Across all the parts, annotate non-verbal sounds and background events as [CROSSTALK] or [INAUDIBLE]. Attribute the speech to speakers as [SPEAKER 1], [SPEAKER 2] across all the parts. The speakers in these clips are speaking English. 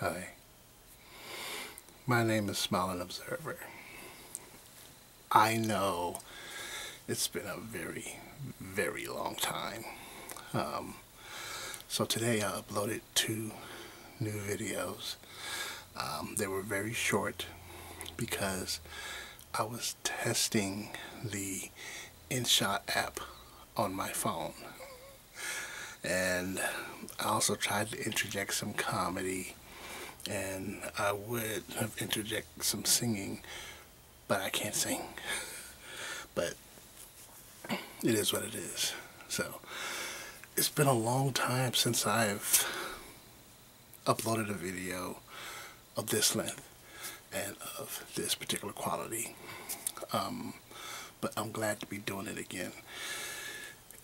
[SPEAKER 1] Hi, my name is Smiling Observer. I know it's been a very, very long time. Um, so today I uploaded two new videos. Um, they were very short because I was testing the InShot app on my phone. And I also tried to interject some comedy and I would have interject some singing, but I can't sing. [LAUGHS] But it is what it is. So it's been a long time since I've uploaded a video of this length and of this particular quality. Um, but I'm glad to be doing it again.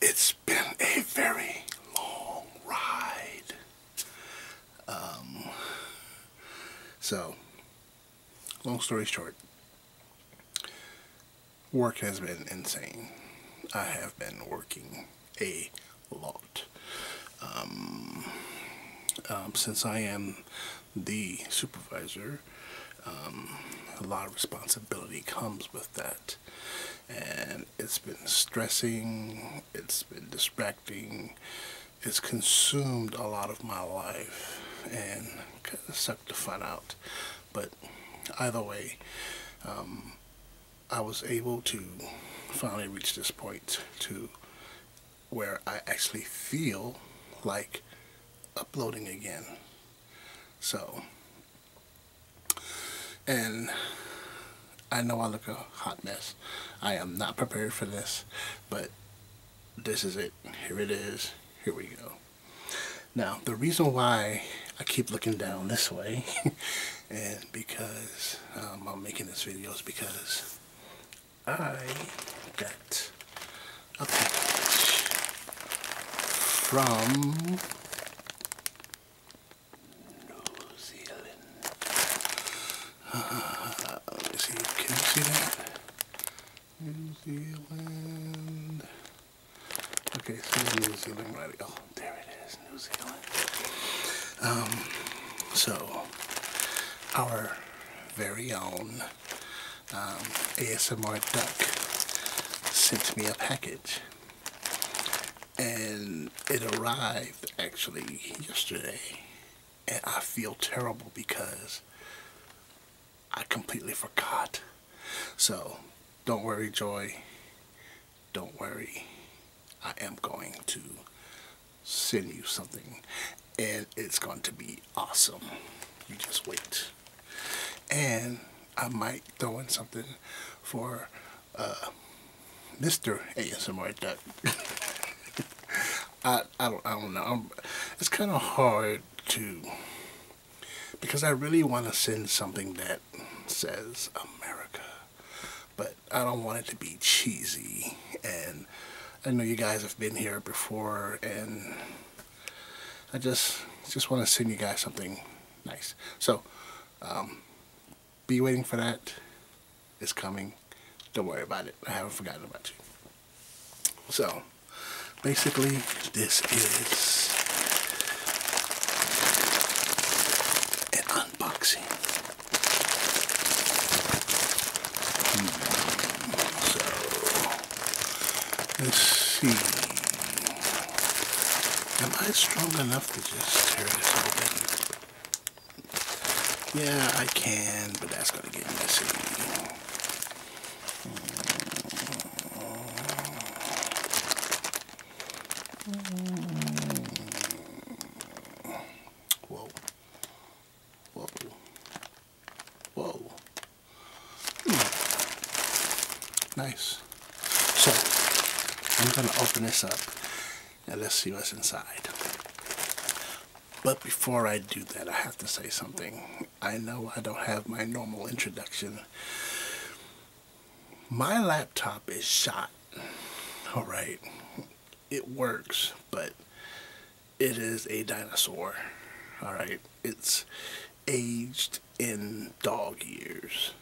[SPEAKER 1] It's been a very long ride. Um, so, long story short, work has been insane. I have been working a lot. Um, since I am the supervisor, um, a lot of responsibility comes with that. And it's been stressing, it's been distracting, it's consumed a lot of my life and kind of sucked the fun out. But either way, um, I was able to finally reach this point to where I actually feel like uploading again. So, and I know I look a hot mess. I am not prepared for this, but this is it. Here it is. Here we go. Now, the reason why I keep looking down this way and [LAUGHS] because um, I'm making this video is because I get a package from New Zealand. Uh, can you see that? New Zealand. Okay, so New Zealand right Oh, there it is, New Zealand. Um, so, our very own um, ASMR Duck sent me a package. And it arrived actually yesterday. And I feel terrible because I completely forgot. So don't worry, Joy. Don't worry. I am going to send you something and it's going to be awesome. You just wait. And I might throw in something for Mr. ASMR Duck. I, I, don't, I don't know. it's kind of hard to, because I really want to send something that says America, but I don't want it to be cheesy and I know you guys have been here before and I just just want to send you guys something nice. So um, be waiting for that. It's coming. Don't worry about it. I haven't forgotten about you. So basically this is an unboxing. Hmm, so, let's see. Am I strong enough to just tear this open? Yeah, I can, but that's going to get messy. Mm. Whoa. Whoa. Whoa. Hmm. Nice. So, I'm going to open this up and let's see what's inside. But before I do that, I have to say something. I know I don't have my normal introduction. My laptop is shot. All right. It works, but it is a dinosaur. All right, it's aged in dog years.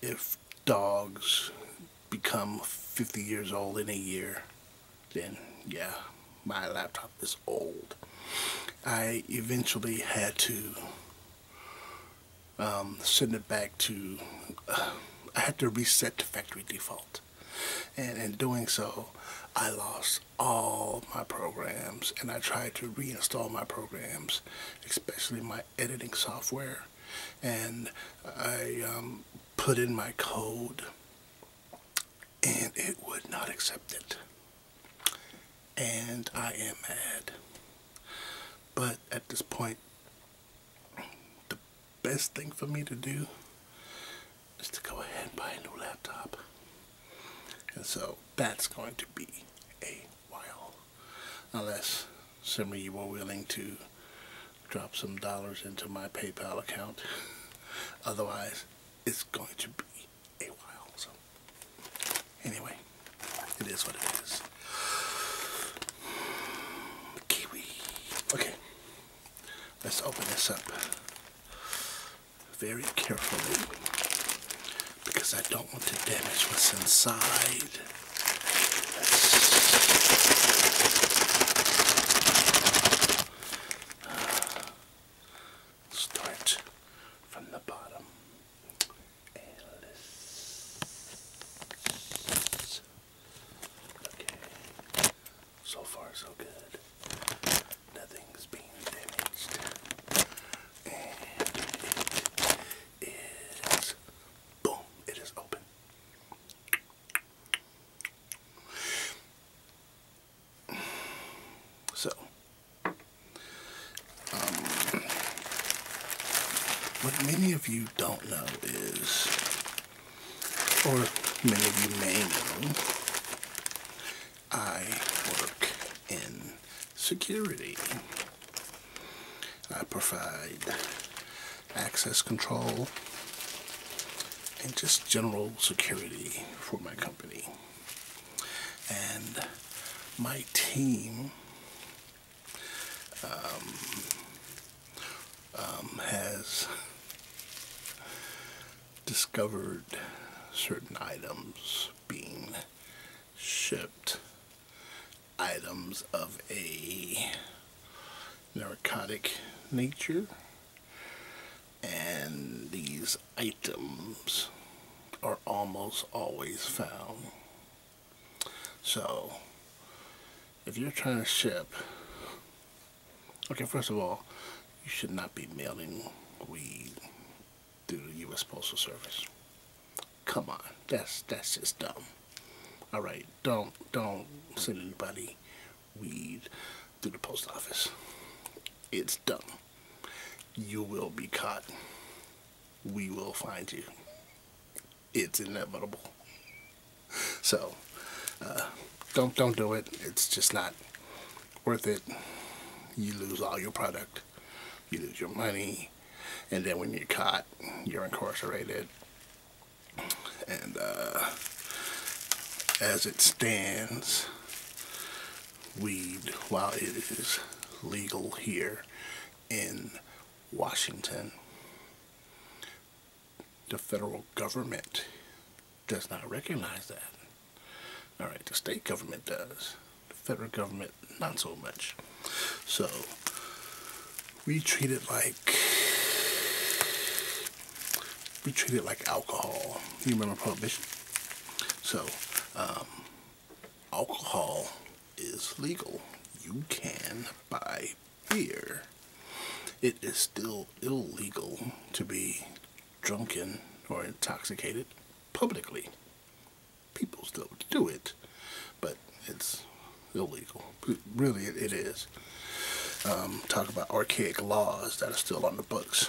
[SPEAKER 1] If dogs become 50 years old in a year, then yeah, my laptop is old. I eventually had to um, send it back to, uh, I had to reset the factory default. And in doing so, I lost all my programs and I tried to reinstall my programs, especially my editing software. And I um, put in my code and it would not accept it. And I am mad. But at this point, best thing for me to do is to go ahead and buy a new laptop. And so that's going to be a while. Unless somebody you are willing to drop some dollars into my PayPal account. Otherwise, it's going to be a while. So, anyway, it is what it is. Okay. Let's open this up very carefully because I don't want to damage what's inside. Start from the bottom. Okay. So far, so good. Nothing's being damaged. And it is. Boom! It is open. So, um, what many of you don't know is or many of you may know, I work in security. I provide access control and just general security for my company. And my team um, um, has discovered certain items being shipped, items of a narcotic nature, and these items are almost always found. So, if you're trying to ship Okay, first of all, you should not be mailing weed through the U.S. Postal Service. Come on, that's that's just dumb. All right, don't don't send anybody weed through the post office. It's dumb. You will be caught. We will find you. It's inevitable. So uh, don't don't do it. It's just not worth it. You lose all your product. You lose your money. And then when you're caught, you're incarcerated. And uh, as it stands, weed, while it is legal here in Washington, the federal government does not recognize that. All right, the state government does. The federal government, not so much. So, we treat it like we treat it like alcohol. You remember prohibition? So, um, alcohol is legal. You can buy here, It is still illegal to be drunken or intoxicated publicly. People still do it, but it's illegal. Really, it is. Um, talk about archaic laws that are still on the books.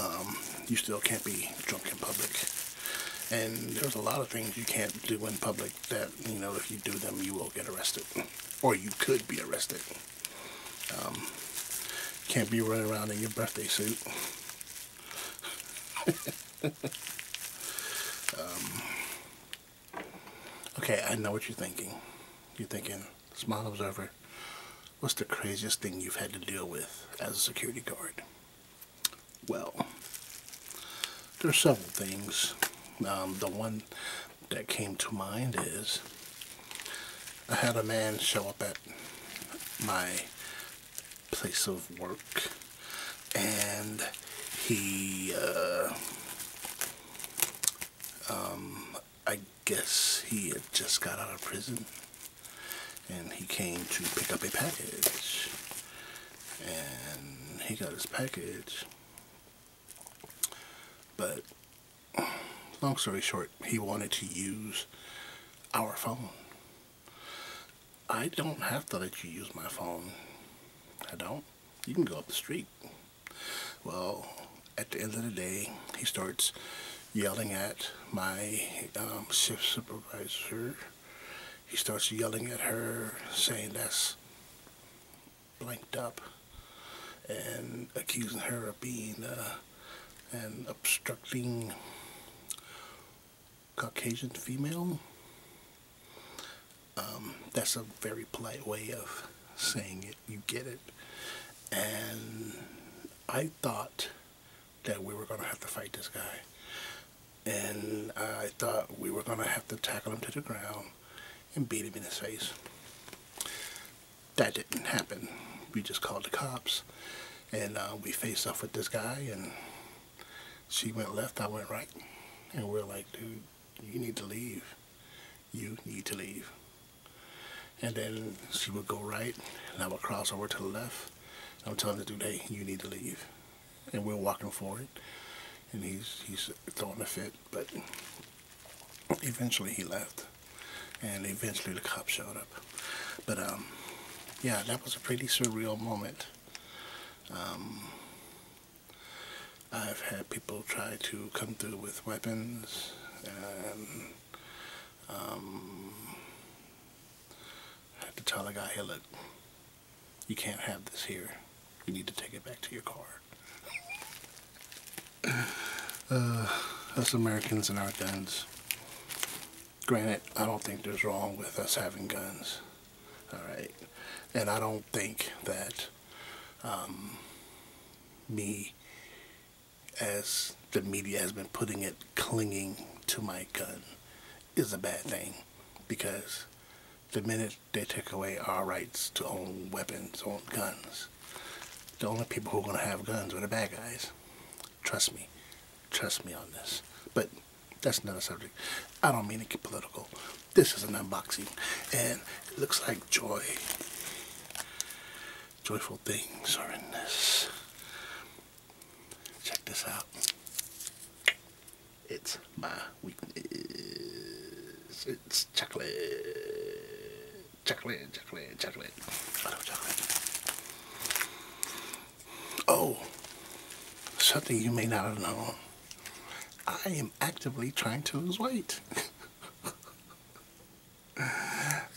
[SPEAKER 1] Um, you still can't be drunk in public. And there's a lot of things you can't do in public that, you know, if you do them, you will get arrested or you could be arrested. Um, can't be running around in your birthday suit. [LAUGHS] Um, okay, I know what you're thinking. You're thinking, Smile Observer, what's the craziest thing you've had to deal with as a security guard? Well, there are several things. Um, the one that came to mind is I had a man show up at my place of work and he uh, um, I guess he had just got out of prison and he came to pick up a package and he got his package but long story short, he wanted to use our phone. I don't have to let you use my phone. I don't. You can go up the street. Well, at the end of the day, he starts yelling at my um, shift supervisor. He starts yelling at her, saying this blanked up and accusing her of being uh, an obstructing Caucasian female. Um, that's a very polite way of saying it. You get it. And I thought that we were going to have to fight this guy. And I thought we were going to have to tackle him to the ground and beat him in his face. That didn't happen. We just called the cops and uh, we faced off with this guy and she went left, I went right. And we are like, dude, you need to leave. You need to leave. And then she would go right and I would cross over to the left. I'm telling the dude, hey, you need to leave. And we're walking forward. And he's, he's not throwing a fit, but eventually he left, and eventually the cop showed up. But um, yeah, that was a pretty surreal moment. Um, I've had people try to come through with weapons and I um, had to tell the guy, hey, look, you can't have this here. You need to take it back to your car. [SIGHS] Uh, us Americans and our guns. Granted, I don't think there's wrong with us having guns. Alright. And I don't think that um, me, as the media has been putting it, clinging to my gun is a bad thing because the minute they take away our rights to own weapons, own guns. The only people who are going to have guns are the bad guys. Trust me. Trust me on this. But that's another subject. I don't mean to get political. This is an unboxing. And it looks like joy. Joyful things are in this. Check this out. It's my weakness. It's chocolate. Chocolate, chocolate, chocolate. Oh, something you may not have known. I am actively trying to lose weight. [LAUGHS]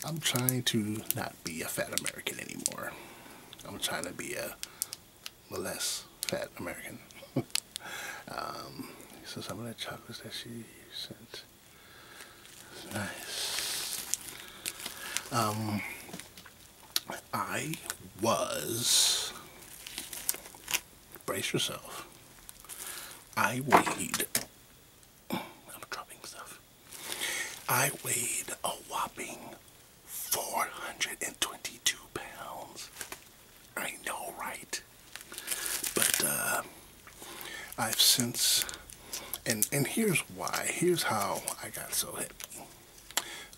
[SPEAKER 1] I'm trying to not be a fat American anymore. I'm trying to be a less fat American. [LAUGHS] Um, so some of the chocolates that she sent. Nice. Um, I was, brace yourself, I weighed, I'm dropping stuff, I weighed a whopping 422 pounds. I know, right? But uh, I've since, and and here's why. Here's how I got so heavy.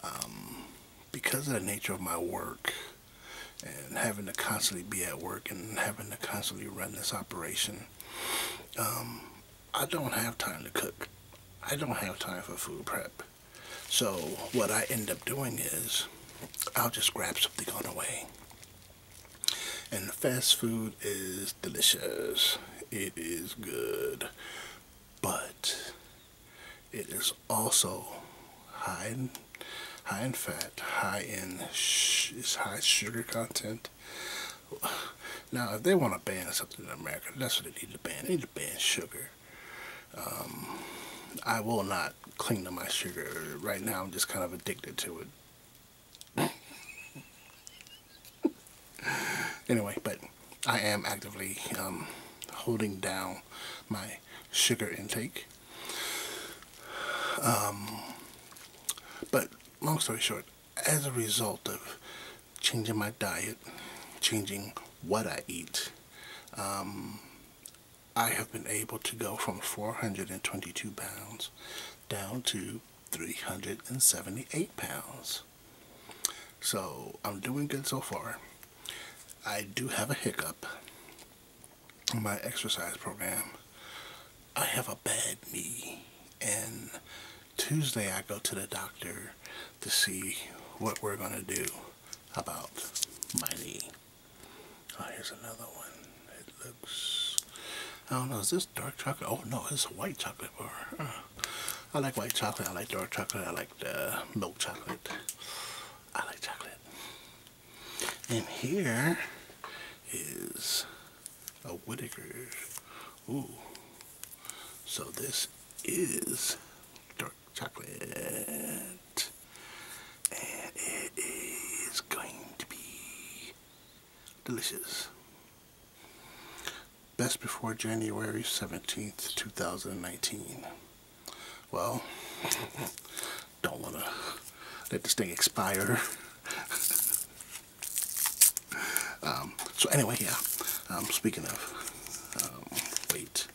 [SPEAKER 1] Um, because of the nature of my work, and having to constantly be at work, and having to constantly run this operation, um, I don't have time to cook. I don't have time for food prep. So what I end up doing is I'll just grab something on the way. And fast food is delicious. It is good. But it is also high in, high in fat, high in high sugar content. Now, if they want to ban something in America, that's what they need to ban. They need to ban sugar. Um, I will not cling to my sugar. Right now, I'm just kind of addicted to it. [LAUGHS] anyway, but I am actively um, holding down my sugar intake. Um, but long story short, as a result of changing my diet, changing what I eat, um, I have been able to go from 422 pounds down to 378 pounds. So I'm doing good so far. I do have a hiccup in my exercise program. I have a bad knee and Tuesday I go to the doctor to see what we're going to do about my knee. Oh, here's another one. It looks. I don't know. Is this dark chocolate? Oh no, it's a white chocolate bar. Uh, I like white chocolate. I like dark chocolate. I like milk chocolate. I like chocolate. And here is a Whittaker's. Ooh. So this is dark chocolate. And it is going to be delicious. Best before January 17th, 2019. Well, [LAUGHS] don't want to let this thing expire. [LAUGHS] Um, so anyway, yeah, um, speaking of um, weight,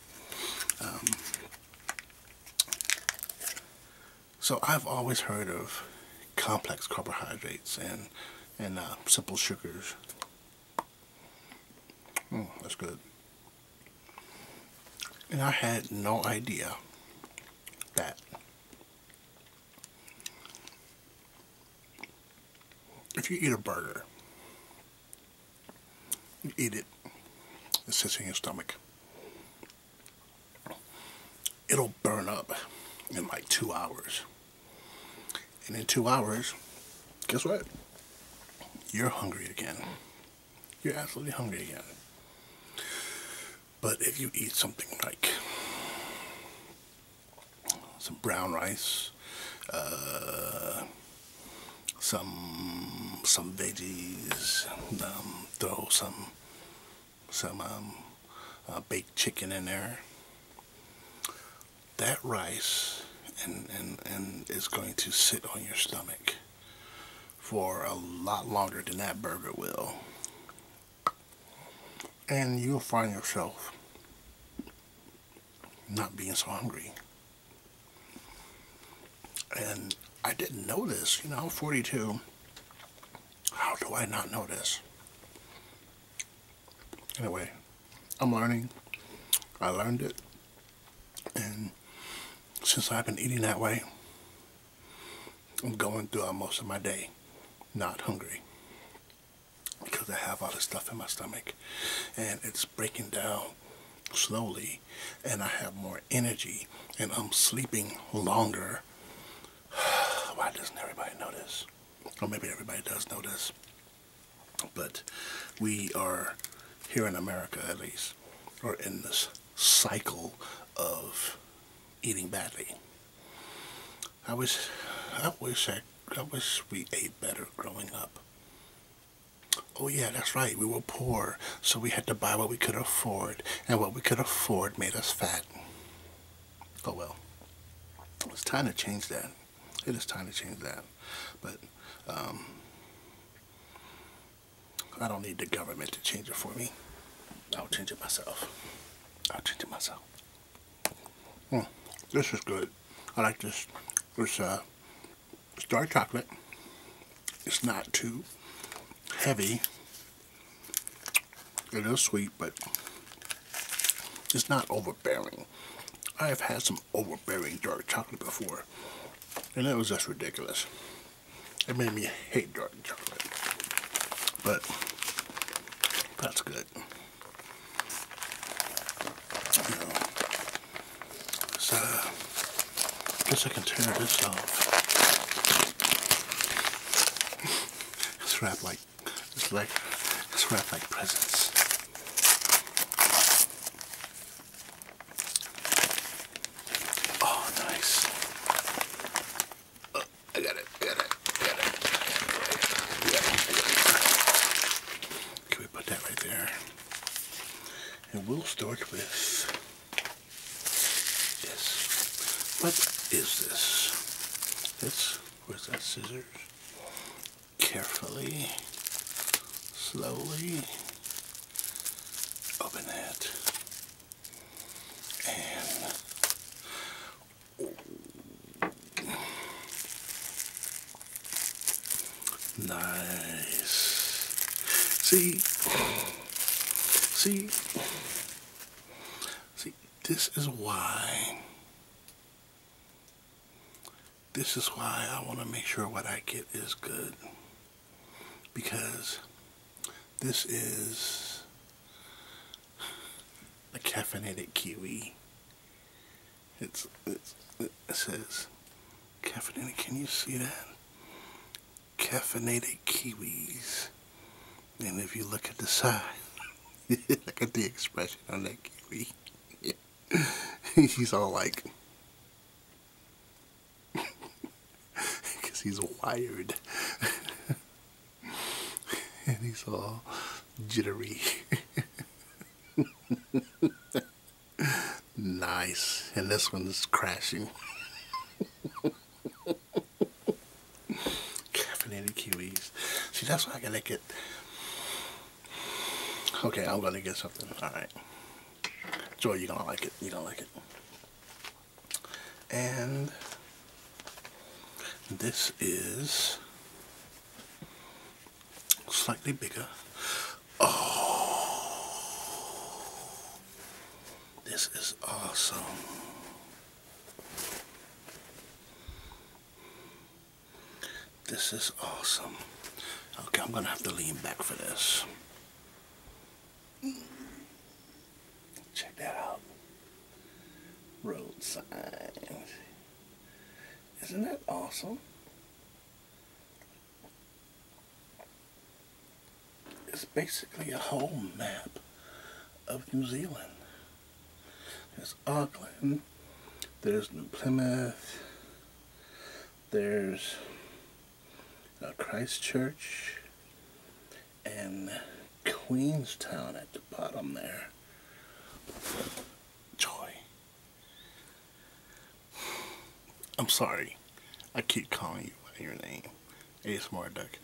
[SPEAKER 1] so I've always heard of complex carbohydrates and and uh, simple sugars. Hmm, that's good. And I had no idea that if you eat a burger you eat it. It sits in your stomach. It'll burn up in like two hours. And in two hours, guess what? You're hungry again. You're absolutely hungry again. But if you eat something like some brown rice, uh, some some veggies, um, throw some some um, uh, baked chicken in there. That rice and, and, and is going to sit on your stomach for a lot longer than that burger will. And you'll find yourself not being so hungry. And I didn't know this, you know, 42. How do I not know this? Anyway, I'm learning. I learned it. And since I've been eating that way, I'm going through most of my day not hungry because I have all this stuff in my stomach and it's breaking down slowly and I have more energy and I'm sleeping longer. [SIGHS] Why doesn't everybody know this? Or maybe everybody does know this. But we are here in America at least are in this cycle of eating badly. I wish I wish I, I wish we ate better growing up. Oh, yeah, that's right. We were poor, so we had to buy what we could afford, and what we could afford made us fat. Oh, well. It's time to change that. It is time to change that. But um, I don't need the government to change it for me. I'll change it myself. I'll change it myself. Mm, this is good. I like this. This uh, it's dark chocolate. It's not too heavy. It is sweet, but it's not overbearing. I have had some overbearing dark chocolate before, and it was just ridiculous. It made me hate dark chocolate, but that's good. So, I guess I can tear this off. it's [LAUGHS] wrapped like, it's like, it's wrapped like presents. Oh, nice. Oh, I got it, got it, got it. Can we put that right there? And we'll start with this. What is this? This, where's that scissors? Carefully, slowly, open that. And Nice. See, see, see, this is why, this is why I want to make sure what I get is good. Because this is a caffeinated kiwi. It's, it says caffeinated. Can you see that? Caffeinated kiwis. And if you look at the side, [LAUGHS] look at the expression on that kiwi. [LAUGHS] he's all like, [LAUGHS] 'cause he's wired. and he's all jittery nice. And this one's crashing. [LAUGHS] Caffeinated kiwis. See, that's why I gotta get. Okay, I'm gonna get something. All right. Joy, you're gonna like it. You're gonna like it. And this is slightly bigger. Oh, this is awesome. This is awesome. Okay, I'm gonna have to lean back for this. Check that out. Road signs. Isn't that awesome? It's basically a whole map of New Zealand. There's Auckland, there's New Plymouth, there's uh, Christchurch, and Queenstown at the bottom there. Joy. I'm sorry. I keep calling you by your name. Ace More Duck.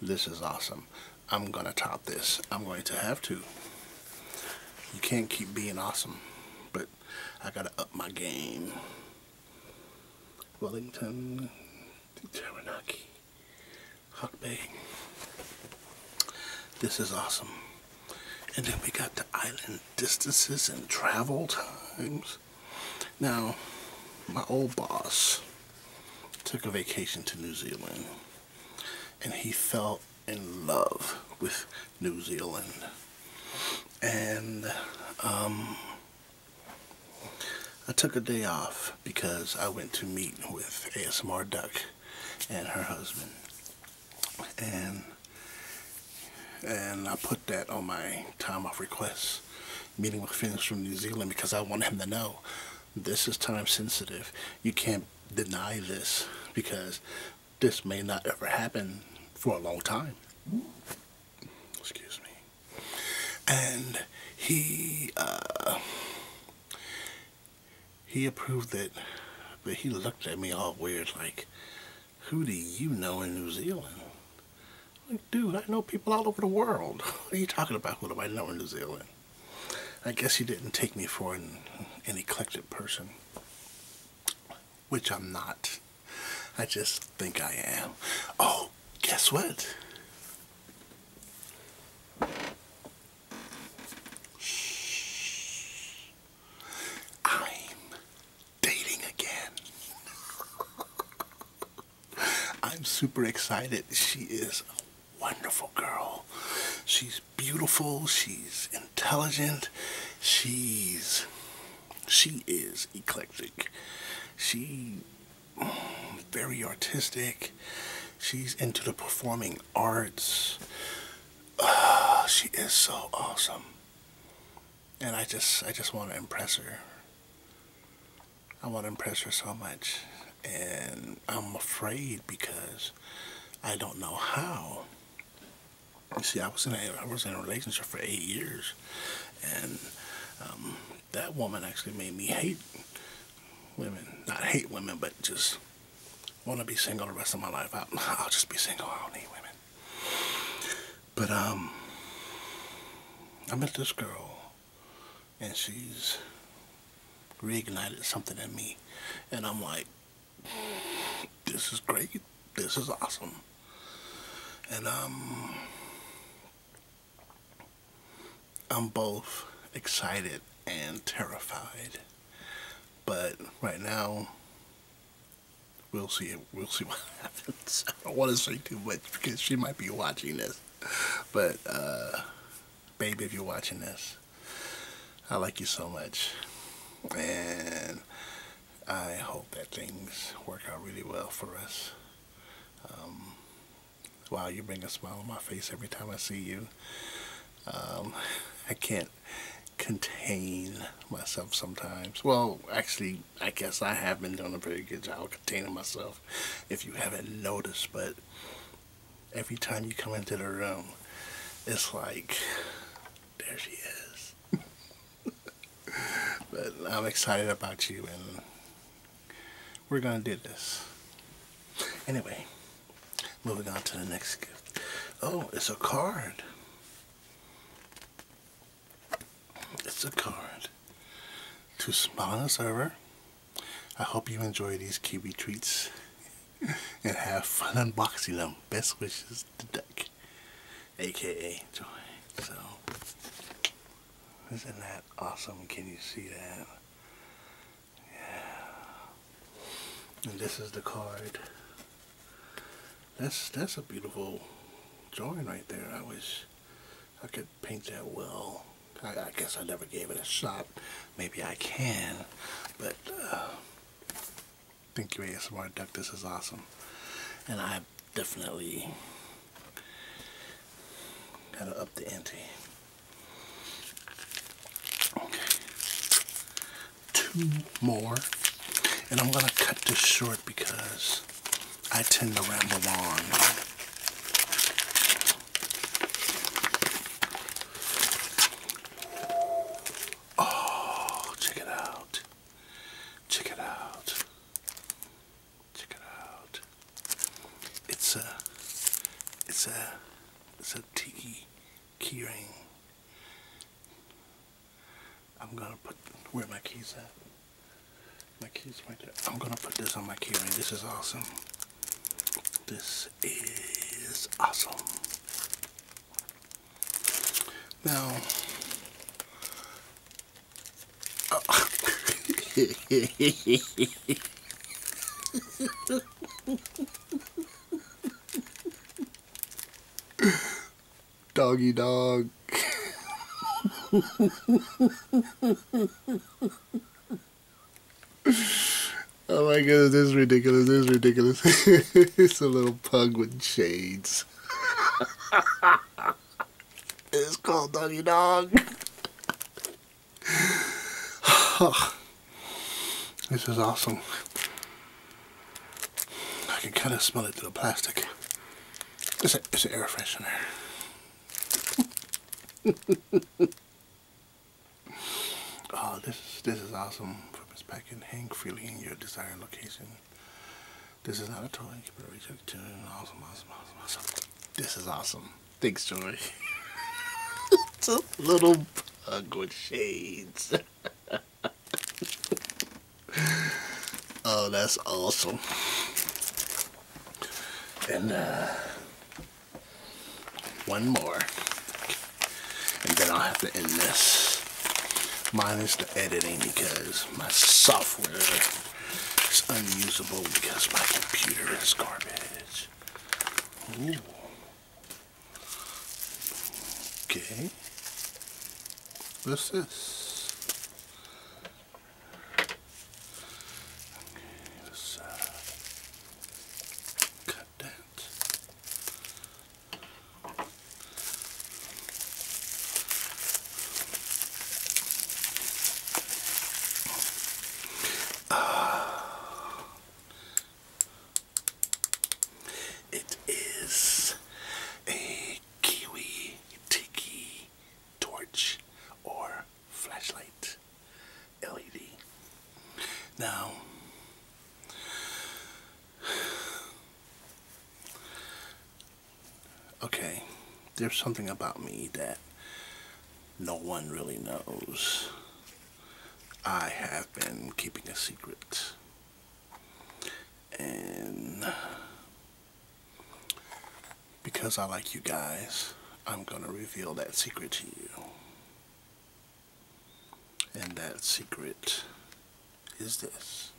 [SPEAKER 1] This is awesome. I'm going to top this. I'm going to have to. You can't keep being awesome. But I got to up my game. Wellington. Taranaki. Huckbay. This is awesome. And then we got to island distances and travel times. Now, my old boss took a vacation to New Zealand and he fell in love with New Zealand. And um, I took a day off because I went to meet with ASMR Duck and her husband and and I put that on my time off request meeting with Finns from New Zealand because I want him to know this is time sensitive. You can't deny this because this may not ever happen for a long time. Excuse me. And he uh, he approved it, but he looked at me all weird like, who do you know in New Zealand? dude, I know people all over the world. [LAUGHS] What are you talking about? Who do I know in New Zealand? I guess you didn't take me for an, an eclectic person, which I'm not. I just think I am. Oh, guess what? I'm dating again. [LAUGHS] I'm super excited. She is a wonderful girl. She's beautiful. She's intelligent. She's she is eclectic. She mm, very artistic. She's into the performing arts. Uh, she is so awesome. And I just I just want to impress her. I want to impress her so much. And I'm afraid because I don't know how. You see, I was in a I was in a relationship for eight years, and um, that woman actually made me hate women. Not hate women, but just want to be single the rest of my life. I, I'll just be single. I don't need women. But um, I met this girl, and she's reignited something in me, and I'm like, this is great, this is awesome, and um, I'm both excited and terrified, but right now we'll see. We'll see [LAUGHS] what happens. I don't want to say too much because she might be watching this. But, uh, babe, if you're watching this, I like you so much. And I hope that things work out really well for us. Um, wow, you bring a smile on my face every time I see you. Um, [LAUGHS] I can't contain myself sometimes. Well, actually, I guess I have been doing a pretty good job containing myself if you haven't noticed, but every time you come into the room, it's like, there she is. [LAUGHS] but I'm excited about you, and we're going to do this. Anyway, moving on to the next gift. Oh, it's a card. It's a card to smile on the server. I hope you enjoy these Kiwi treats [LAUGHS] and have fun unboxing them. Best wishes, to deck, aka Joy. So, isn't that awesome? Can you see that? Yeah. And this is the card that's that's a beautiful drawing right there. I wish I could paint that well. I, guess I never gave it a shot. Maybe I can, but uh, thank you ASMR Duck. This is awesome, and I definitely gotta up the ante. Okay two more, and I'm going to cut this short because I tend to ramble on. Oh, check it out. Check it out. Check it out. It's a it's a it's a tiki key I'm gonna put where my keys at. My keys right there. I'm gonna put this on my keyring. This is awesome. This is awesome. Now, [LAUGHS] [LAUGHS] [COUGHS] Doggy dog. [LAUGHS] Oh my goodness, this is ridiculous. This is ridiculous. [LAUGHS] it's a little pug with shades. [LAUGHS] it's called Doggy Dog. [SIGHS] Oh. This is awesome. I can kind of smell it through the plastic. It's, a, air freshener. [LAUGHS] oh, this, this is awesome. Purpose packing, hang freely in your desired location. This is not a toy. Keep it reaching to awesome, awesome, awesome, awesome. This is awesome. Thanks, Joy. [LAUGHS] it's a little bug with shades. [LAUGHS] oh, that's awesome. And uh, one more. And then I'll have to end this. Minus the editing because my software is unusable because my computer is garbage. Okay. What's this? Okay, let's uh, cut that. Ah, it is a Kiwi Tiki torch or flashlight LED. Now, okay, there's something about me that no one really knows. I have been keeping a secret and because I like you guys, I'm going to reveal that secret to you. And that secret is this.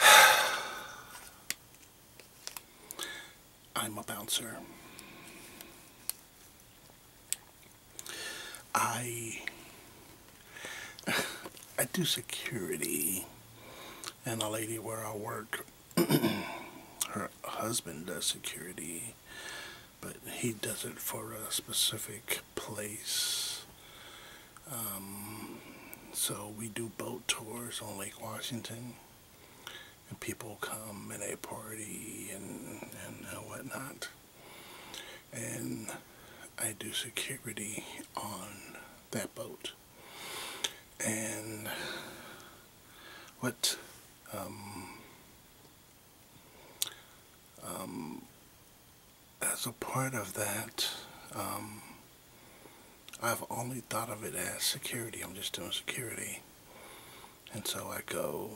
[SPEAKER 1] [SIGHS] I'm a bouncer. I I do security and the lady where I work [CLEARS THROAT] her husband does security but he does it for a specific place um, so we do boat tours on Lake Washington and people come and they party and, and whatnot and I do security on that boat. And what um, um, as a part of that, um, I've only thought of it as security. I'm just doing security. And so I go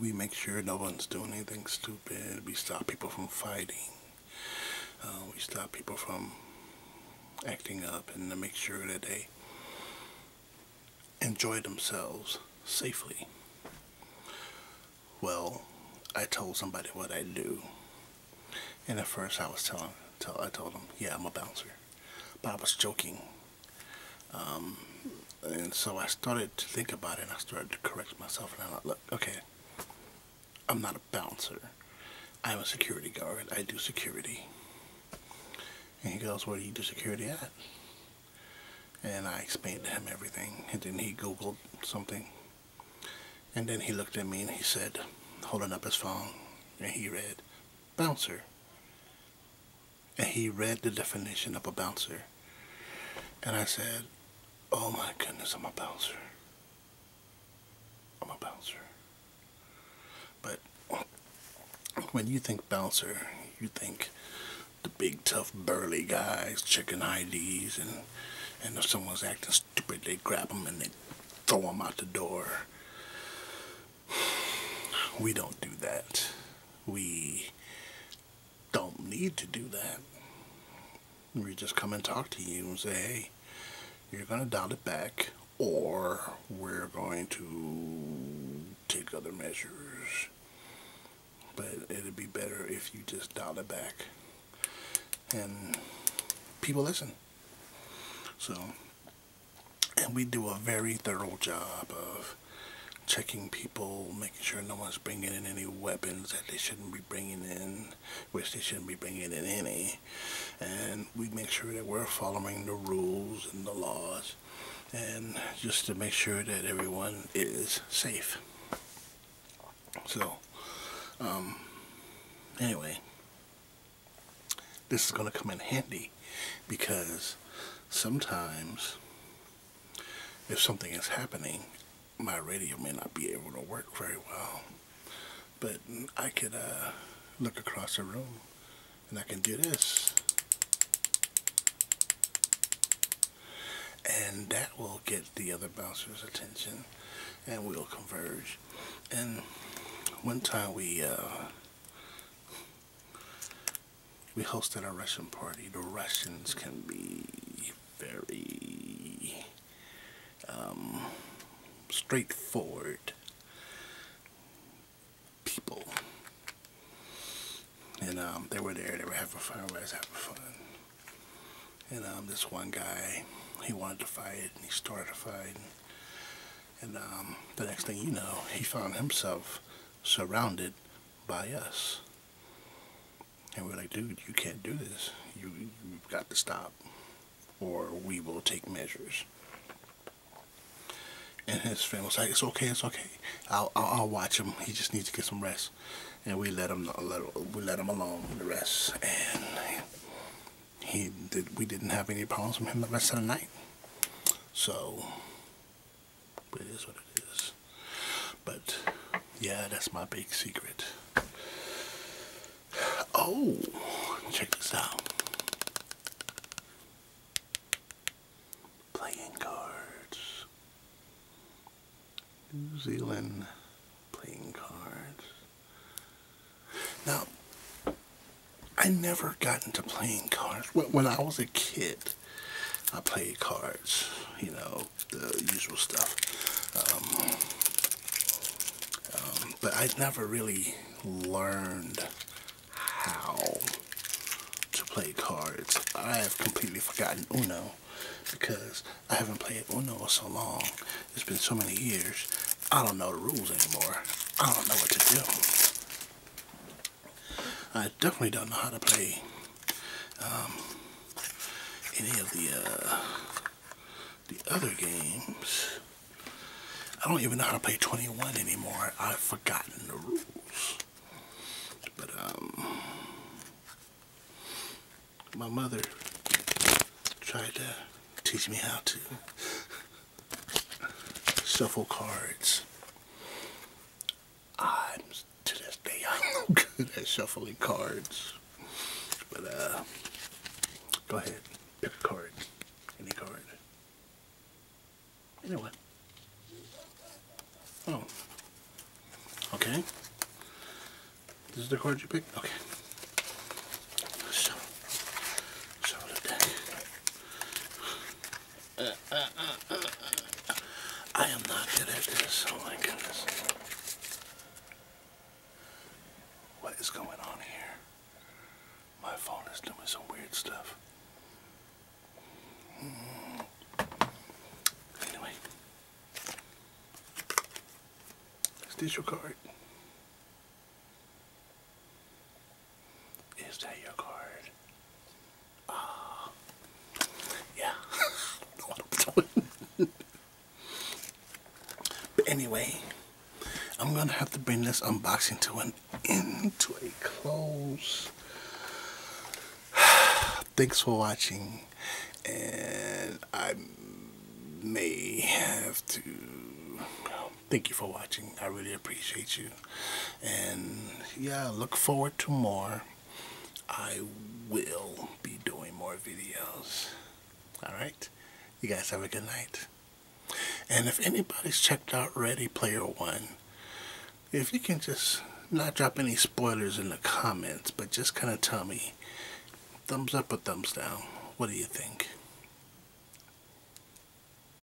[SPEAKER 1] we make sure no one's doing anything stupid. We stop people from fighting. Uh, we stop people from acting up and to make sure that they enjoy themselves safely. Well, I told somebody what I do. And at first I was telling, I told them, yeah, I'm a bouncer. But I was joking. Um, and so I started to think about it and I started to correct myself and I thought, look, okay, I'm not a bouncer. I'm a security guard. I do security. And he goes, where do you do security at? And I explained to him everything. And then he Googled something. And then he looked at me and he said, holding up his phone, and he read, bouncer. And he read the definition of a bouncer. And I said, Oh my goodness, I'm a bouncer. I'm a bouncer. But when you think bouncer, you think the big, tough, burly guys, checking IDs, and, and if someone's acting stupid, they grab them and they throw them out the door. [SIGHS] We don't do that. We don't need to do that. We just come and talk to you and say, hey, you're going to dial it back, or we're going to take other measures. But it'd be better if you just dial it back. And people listen. So and we do a very thorough job of checking people, making sure no one's bringing in any weapons that they shouldn't be bringing in, which they shouldn't be bringing in any. And we make sure that we're following the rules and the laws, and just to make sure that everyone is safe. So, um, anyway, this is going to come in handy because sometimes if something is happening, my radio may not be able to work very well. But I could uh, look across the room and I can do this. And that will get the other bouncer's attention and we'll converge. And one time we uh, we hosted a Russian party. The Russians can be very um, straightforward people. And um, they were there, they were having fun, everybody's having fun. And um, this one guy, he wanted to fight, and he started to fight. and the next thing you know, he found himself surrounded by us. And we're like, dude, you can't do this. You, you've got to stop, or we will take measures. And his family was like, it's okay, it's okay. I'll, I'll, I'll watch him. He just needs to get some rest. And we let him, let, we let him alone the rest. And he did, we didn't have any problems with him the rest of the night. So it is what it is. But yeah, that's my big secret. Oh, check this out. Playing cards. New Zealand playing cards. Now, I never got into playing cards. When I was a kid, I played cards, you know, the usual stuff. Um, um, but I never really learned how to play cards. I have completely forgotten Uno because I haven't played Uno in so long. It's been so many years. I don't know the rules anymore. I don't know what to do. I definitely don't know how to play um, any of the uh, the other games. I don't even know how to play 21 anymore. I've forgotten the rules. But um, my mother tried to teach me how to shuffle cards. I'm to this day [LAUGHS] I'm no good at shuffling cards. But uh go ahead, pick a card. Any card. Anyway. Oh. Okay. This is the card you picked? Okay. Shuffle. Shuffle the deck. I am not good at this. Oh my goodness. What is going on here? My phone is doing some weird stuff. Mm. Anyway. It's digital card. Is that your card? Ah, yeah. [LAUGHS] but anyway, I'm gonna have to bring this unboxing to an end, to a close. [SIGHS] Thanks for watching, and I may have to thank you for watching. I really appreciate you. And yeah, look forward to more. I will be doing more videos. Alright? You guys have a good night. And if anybody's checked out Ready Player One, if you can just not drop any spoilers in the comments, but just kind of tell me thumbs up or thumbs down. What do you think?